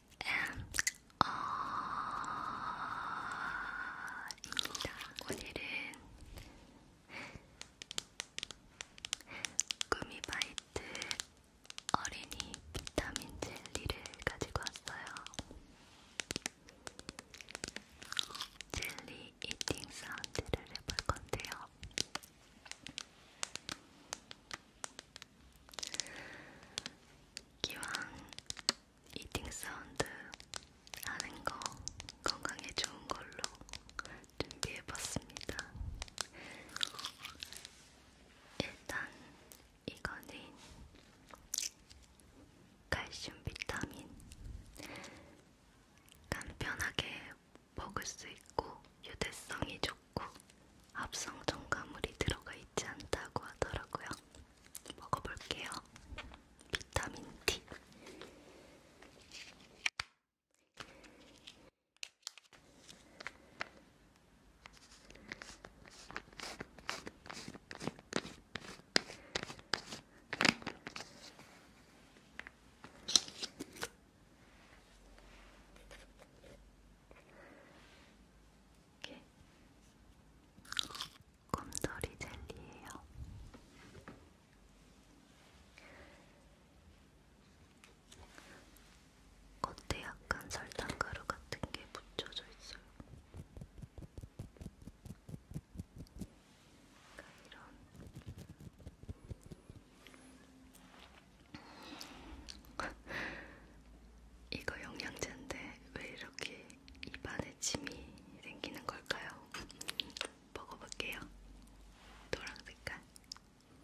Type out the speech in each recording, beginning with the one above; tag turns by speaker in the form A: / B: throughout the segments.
A: ASMR입니다. 음, 오늘은 어, 꾸미바이트 어린이 비타민 젤리를 가지고 왔어요. 젤리 이팅 사운드를 해볼 건데요. 기왕 이팅 사운드 하는 거 건강에 좋은 걸로 준비해봤습니다. 일단 이거는 칼슘 비타민 간편하게 먹을 수 있고 유대성이 좋고 합성 첨가물이 들어가 있지 않다고 하더라고요. 먹어볼게요. 비타민 D. 이렇게
B: 곰돌이 젤리예요. 겉에 약간 설탕 가루 같은 게 묻혀져 있어요. 그러니까 이런 이거 영양제인데 왜 이렇게 입안에 침이 생기는 걸까요? 먹어볼게요. 노랑 색깔. 음.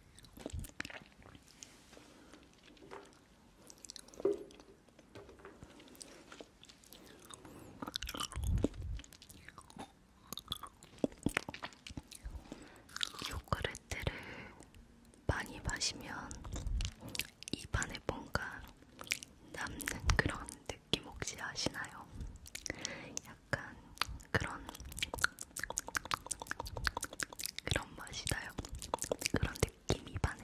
C: 요구르트를 많이 마시면 입안에 뭔가 남는 그런 느낌 혹시 아시나요? 약간 그런 그런 맛이 나요. 그런 느낌이 반해.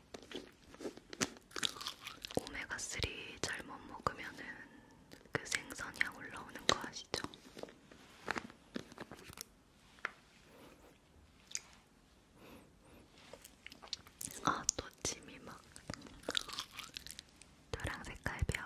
C: 오메가3 잘못 먹으면은 그 생선향 올라오는 거 아시죠?
D: 아, 또 침이 막 노랑 색깔 별.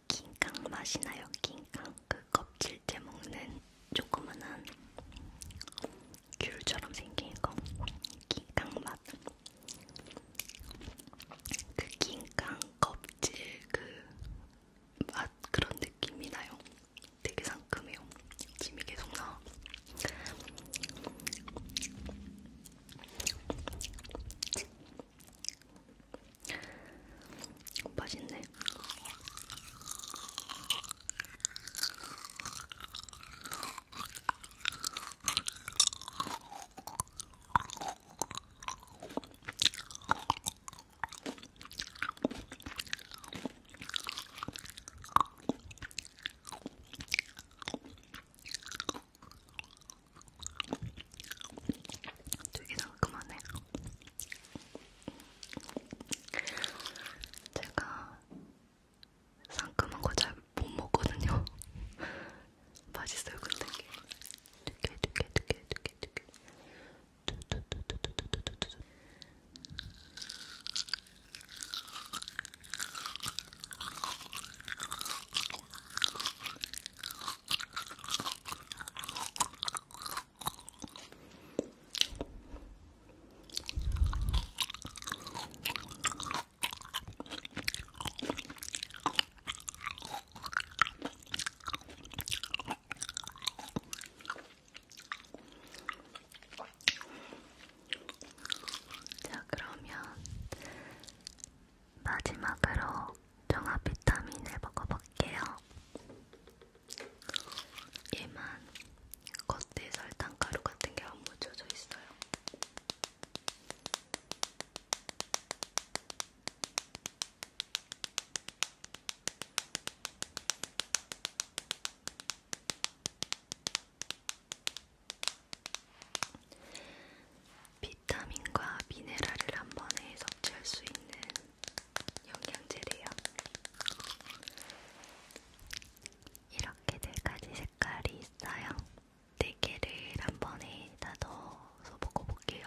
D: 킹강 맛이나요? 킹강 그 껍질째 먹는 조그만한 귤처럼 생긴 거 킹강 맛. 그 킹강 껍질 그 맛 그런 느낌이 나요. 되게 상큼해요. 침이 계속 나. 맛있네. 되게 상큼하네. 제가 상큼한 거 잘 못 먹거든요. 맛있어요, 근데 이게. 두개, 두개, 두개, 두개, 두개. 두두두두두두두두두. 자, 그러면 마지막으로 종합 비타민을 먹어볼게요. 얘만 겉에 설탕가루 같은 게안 묻혀져 있어요. 비 비타민과 미네랄을 한 번에 섭취할 수 있는 영양제래요. 이렇게 네 가지 색깔이 있어요. 네 개를 한 번에 다 넣어서 먹어볼게요.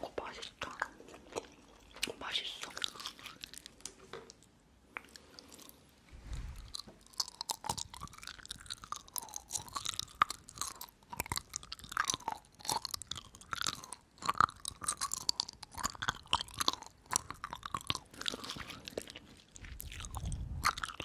D: 어, 맛있다. 어, 맛있어.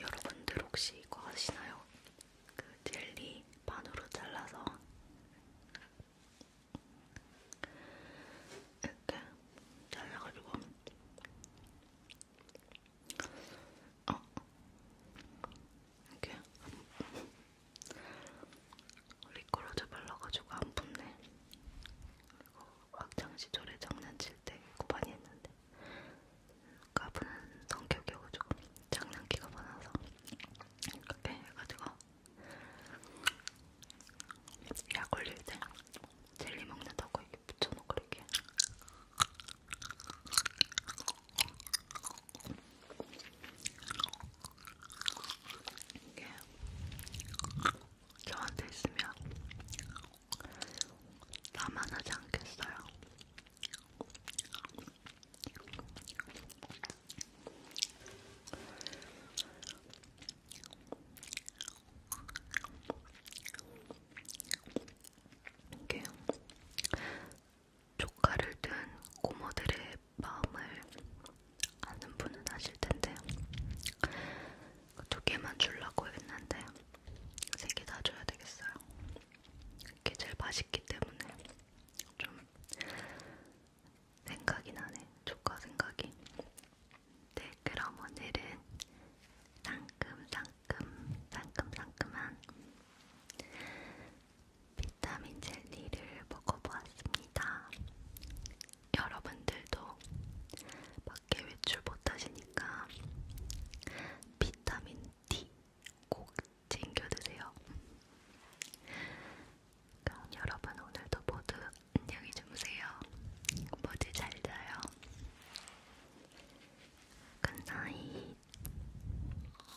D: 여러분들 혹시 이거 아시나요? 그 젤리 반으로 잘라서 이렇게 잘라가지고 어 이렇게 미끄러져 발라가지고 안 붙네. 그리고 학창 시절에 장난칠 때 이거 많이 했는데 까부는 성격이어가지고 장난기가 많아서 그렇게 해가지고 약 올릴 때 젤리 먹는다고 이렇게 붙여놓고 이렇게.
E: 이게 저한테 있으면 나만 하지 않겠어요. 이게 조카를 둔 고모들의 마음을 아는 분은 아실 텐데 그 두 개만 주려고 했는데 세 개 다 줘야 되겠어요. 이게 제일 맛있기 때문에 좀 생각이 나네. 조카 생각이. 네, 그럼 오늘은 상큼상큼 상큼상큼한 비타민 젤리를 먹어보았습니다. 여러분들도 밖에 외출 못하시니까 비타민 D 꼭 챙겨 드세요. 그럼 여러분 오늘도 모두 안녕히 주무세요. 모두 잘 자요. 굿나잇.